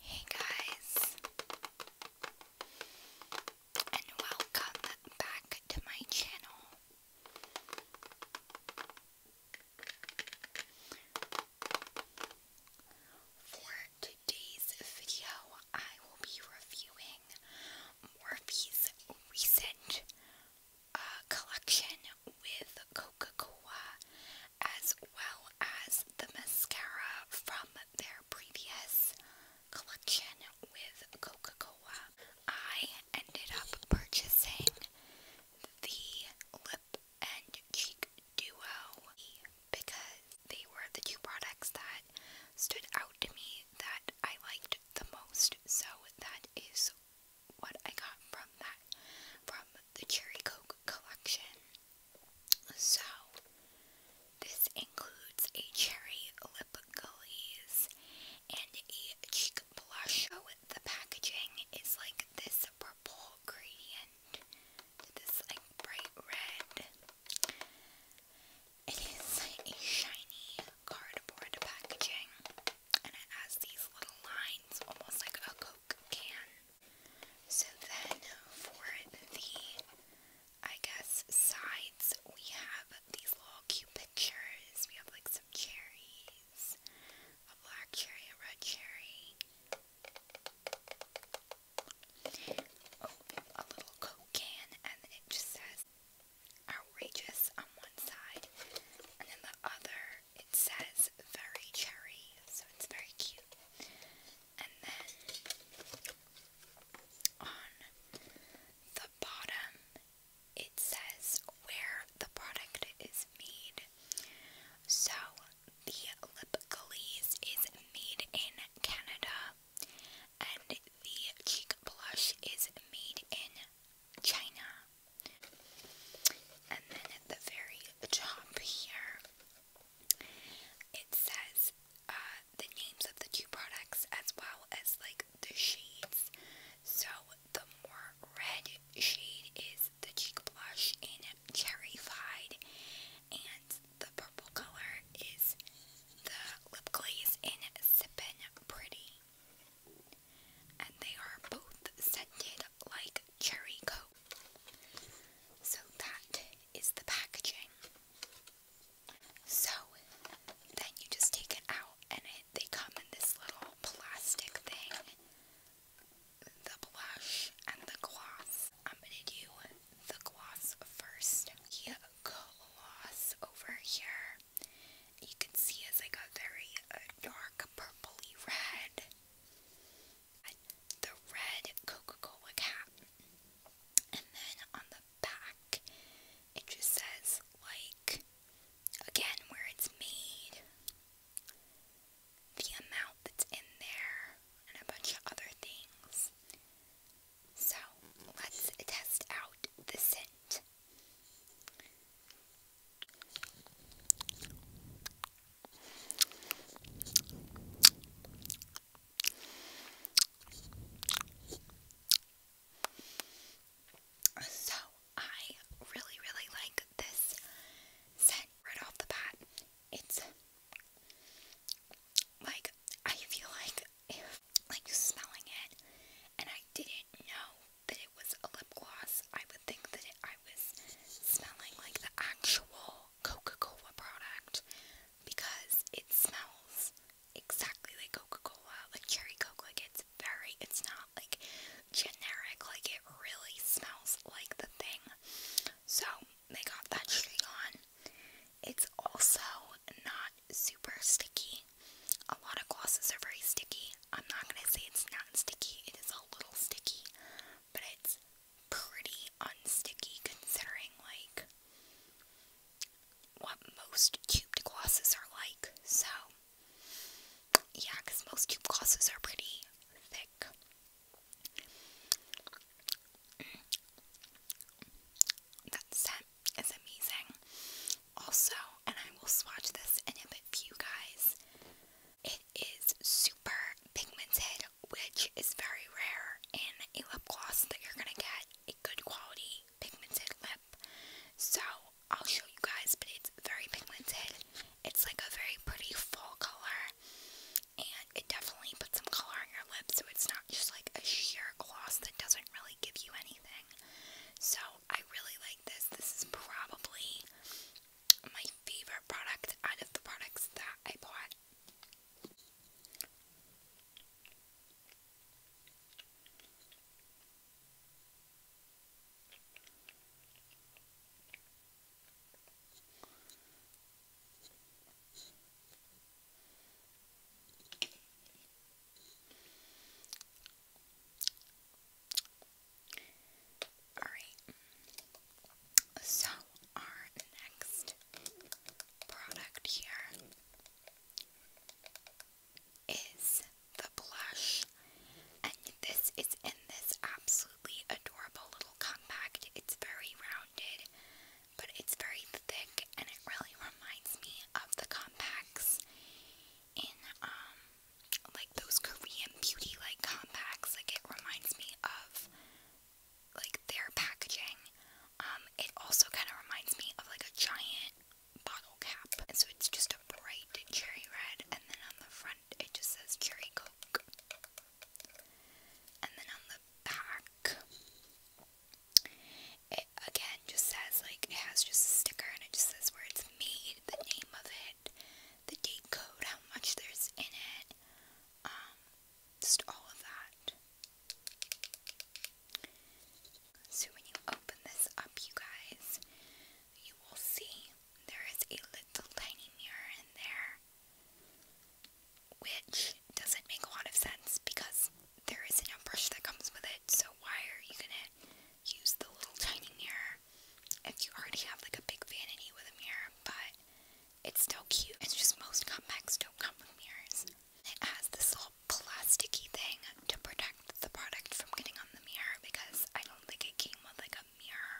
Hey guys, and welcome back to my channel. For today's video, I will be reviewing Morphe's recent uh, collection with Coca Cola as well as the mascara from their previous collection with Coca Cola. I ended up purchasing the lip and cheek duo because they were the two products that stood out to me that I liked the most. So that is what I got from that from the Cherry Coke collection. So, this includes a cherry lip gloss and a cheek blush. So, the packaging is like this purple gradient to this like bright red. It is a shiny cardboard packaging and it has these little lines almost like a Coke can. So then for the, I guess, sides, we have these little cute pictures. We have like some cherries, a black cherry, a red cherry. Oh, a little Coke can, and it just says outrageous on one side, and then the other it says very cherry, so it's very cute. And then on the bottom, it says where the product is made. So the lip glaze is made in Canada, and the cheek blush is made in China. And then at the very top here, it says uh, the names of the two products as well as like the shades. So the more red shade is the cheek blush in Cherry Fied, and the purple color is the lip glaze in Sippin' Pretty. And they are both scented like cherry coke. So that is the packaging. So then you just take it out, and it, they come in this little plastic thing. The blush and the gloss. I'm gonna do the gloss first. The gloss over here. You can see it's like a very uh, dark purpley red the red Coca-Cola cap. And then on the back, it just says, like, again, where it's made, the amount that's in there, and a bunch of other things. So, let's test out the scent. So, I really, really like this scent right off the bat. It's like, I feel like if, like, smelling it, and I didn't know that was a lip gloss, I would think that it, I was smelling like the actual Coca Cola product because it smells exactly like Coca Cola, like Cherry Coke. Like it's very, it's not like generic, like it really smells like the thing. So they got that straight on. It's also not super sticky. A lot of glosses are very sticky. I'm not gonna say it's not sticky, it is a little sticky, but it's pretty unsticky considering like what most tube glosses are like. So yeah, because most tube glosses are pretty thick. Mm. That scent is amazing. Also, and I will swatch this in a bit for you guys is super pigmented, which is very rare in a lip gloss that you're gonna get a good quality pigmented lip. So I'll show you guys, but it's very pigmented. It's like a very pretty full color, and it definitely puts some color on your lips, so it's not just like a sheer gloss that doesn't really give you anything. So I really like this. This is probably my favorite product out of the products that I bought. Alright, so our next product here is the blush, and this is in this absolutely adorable little compact. It's very rounded, but it's very thick, and it really reminds me of the compacts in um like those Korean beauty like compacts. Like it reminds me of like their packaging. Um, it also kind of reminds me of like a giant bottle cap. And so it's just a bright cherry red, and then on the front it just says cherry coke. And then on the back, it again just says like it has just a sticker and it just says where it's made, the name of it, the date code, how much there's in it, um, just all of that. So when you open this up, you guys, you will see there is a little tiny mirror in there, which doesn't make a lot of sense because there a brush that comes with it, so why are you gonna use the little tiny mirror if you already have like a big vanity with a mirror, but it's still cute. It's just most comebacks don't come with mirrors. It has this little plasticky thing to protect the product from getting on the mirror because I don't think it came with like a mirror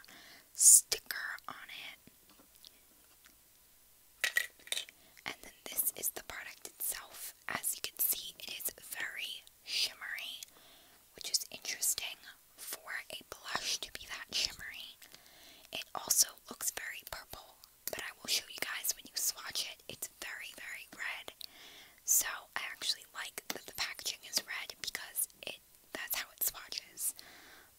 sticker on it. And then this is the product itself. As you can see, it is very shimmery, which is interesting for a blush to be that shimmery. It also looks very purple, but I will show you guys when you swatch it. It's very, very red. So I actually like that the packaging is red because it that's how it swatches.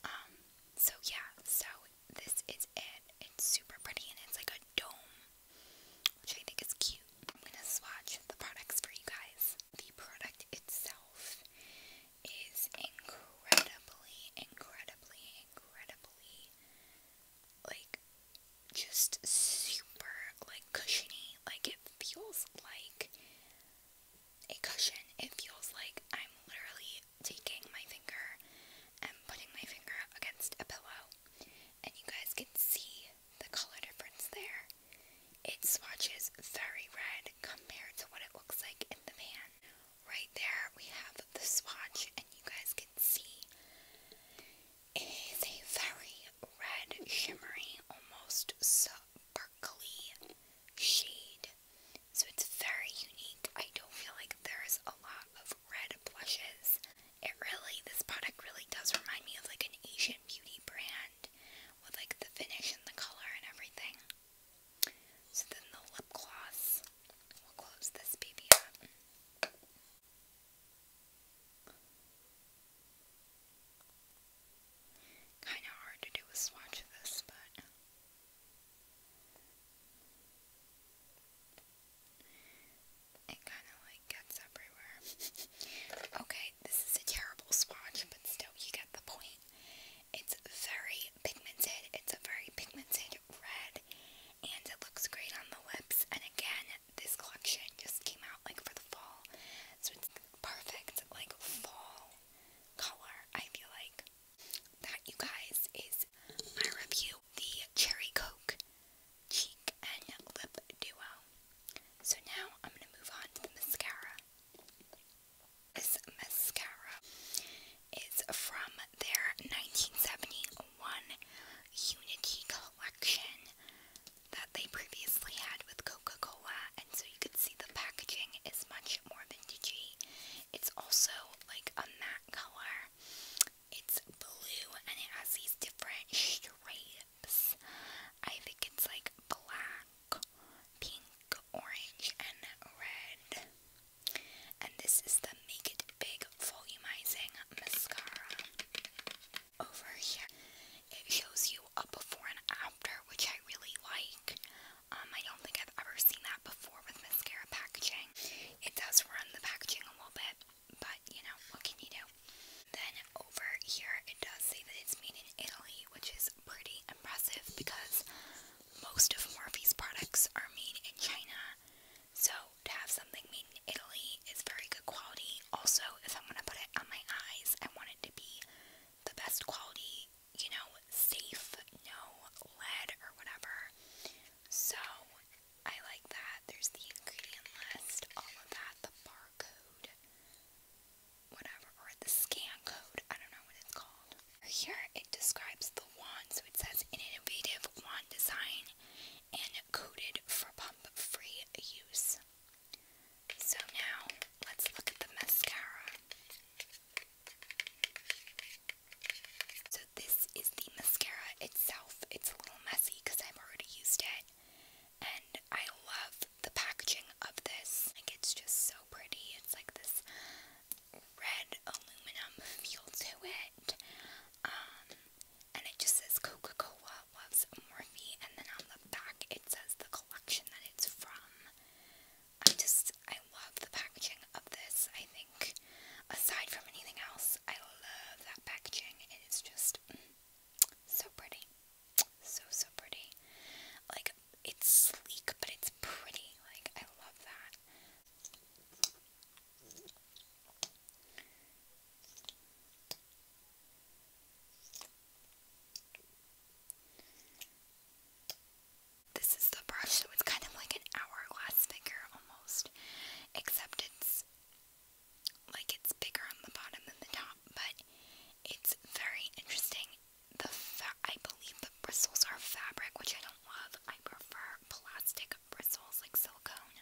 Um, so yeah, so this is it. It's super pretty and it's like a dome, which I think is cute. I'm going to swatch the products for you guys. The product itself is incredibly, incredibly, incredibly, like, just super, like, cushiony. Like, it feels like a cushion. It feels like I'm literally taking my finger and putting my finger against a pillow. And you guys can see the color difference there. It swatches very red compared to what it looks like in the van. Right there we have the swatch and you guys can see it is a very red shimmery almost sparkly shade. So it's very unique. I don't feel like there's a lot of red blushes. It really, this product really does remind me of like an Asian beauty brand with like the finish and the color and everything. So then the lip gloss will close this baby up. Kinda hard to do a swatch of this, but it kind of like gets everywhere. okay, this is a terrible swatch, but still, you get the point. It's very pigmented, it's a very pigmented red, and it looks great on the lips. And again, this collection just came out like for the fall, so it's perfect, like fall color, I feel like. That, you guys, is my review. The Cherry Coke cheek and lip duo. So now I'm going to move on to the mascara. This mascara is from their 1971 Unity collection that they previously had with Coca-Cola, and so you can see the packaging is much more vintagey. It's also like a matte color. It's blue and it has these different straight I think it's like black, pink, orange, and red. And this is the Make It Big Volumizing Mascara. Over here, it shows you a before and after, which I really like. Um, I don't think I've ever seen that before with mascara packaging. It does run the packaging a little bit but you know, what can you do? Then over here it does say that it's made in Italy, which is pretty impressive because most of Morphe's products are made in China. So to have something made in Italy is very good quality. Also, if I'm gonna put it on my eyes, I want it to be the best quality, you know, safe, no lead or whatever. So I like that. There's the ingredient list, all of that, the bar code, whatever, or the scan code. I don't know what it's called. Here it describes the wand, so it says innovative wand design and coded for pump free use. So now let's look at the mascara. So this is the mascara itself. It's a little messy because I've already used it and I love the packaging of this. Like it's just so pretty. It's like this red aluminum feel to it. Um, and it just says Coca-Cola loves Morphe, and then on the back it says the collection that it's from. I just I love the packaging of this. I think aside from anything else, I love that packaging. It is just so pretty. So, so pretty. Like, it's sleek, but it's pretty. Like, I love that. This is the brush, so it's kind of like an hourglass figure almost, except it's like it's bigger on the bottom than the top, but it's very interesting. The I believe the bristles are fabric, which I don't love. I prefer plastic bristles like silicone.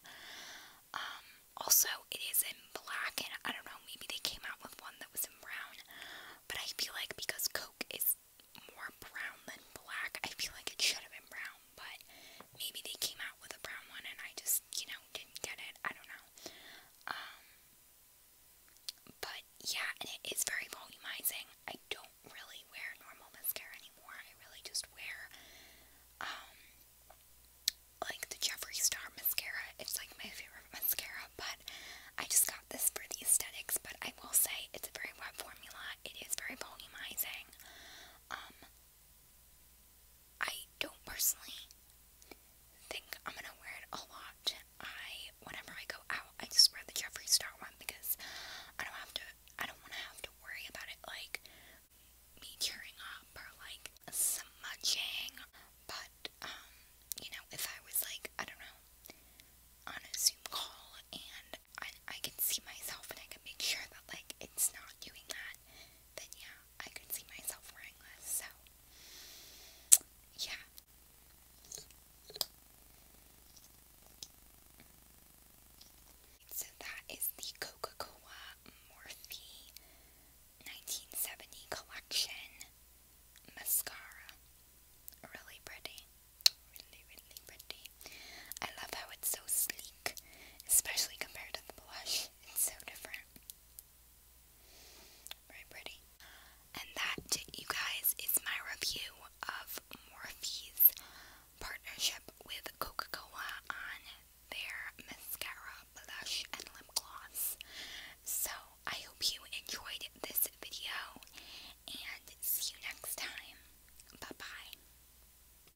Um, also, it is in black, and I don't know, maybe they came out with one that was in brown, but I feel like because Coke is more brown than black, I feel like it should have been brown but maybe they came out with a brown one and I just, you know, didn't get it. I don't know. Um, but yeah, and it is very volumizing. I don't really wear normal mascara anymore. I really just wear, um, like the Jeffree Star mascara. It's like my favorite mascara, but I just got this for the aesthetics. But I will say it's a very wet formula. It is very volumizing. Um, I don't personally think I'm gonna wear it a lot. I whenever I go out, I just wear the Jeffree Star one because I don't have to. I don't want to have to worry about it like me tearing up or like smudging. But um, you know, if I was like I don't know on a Zoom call and I I can see myself and I can make sure that like it's not doing that, then yeah, I could see myself wearing this, so yeah. So that is the Coca-Cola Morphe 1970 collection mascara. Really pretty. Really, really pretty. I love how it's so sleek especially compared to the blush. It's so different. Very pretty. And that, you guys, is my review of Morphe's partnership with Coca Cola on their mascara, blush, and lip gloss. So, I hope you enjoyed this video, and see you next time. Bye bye.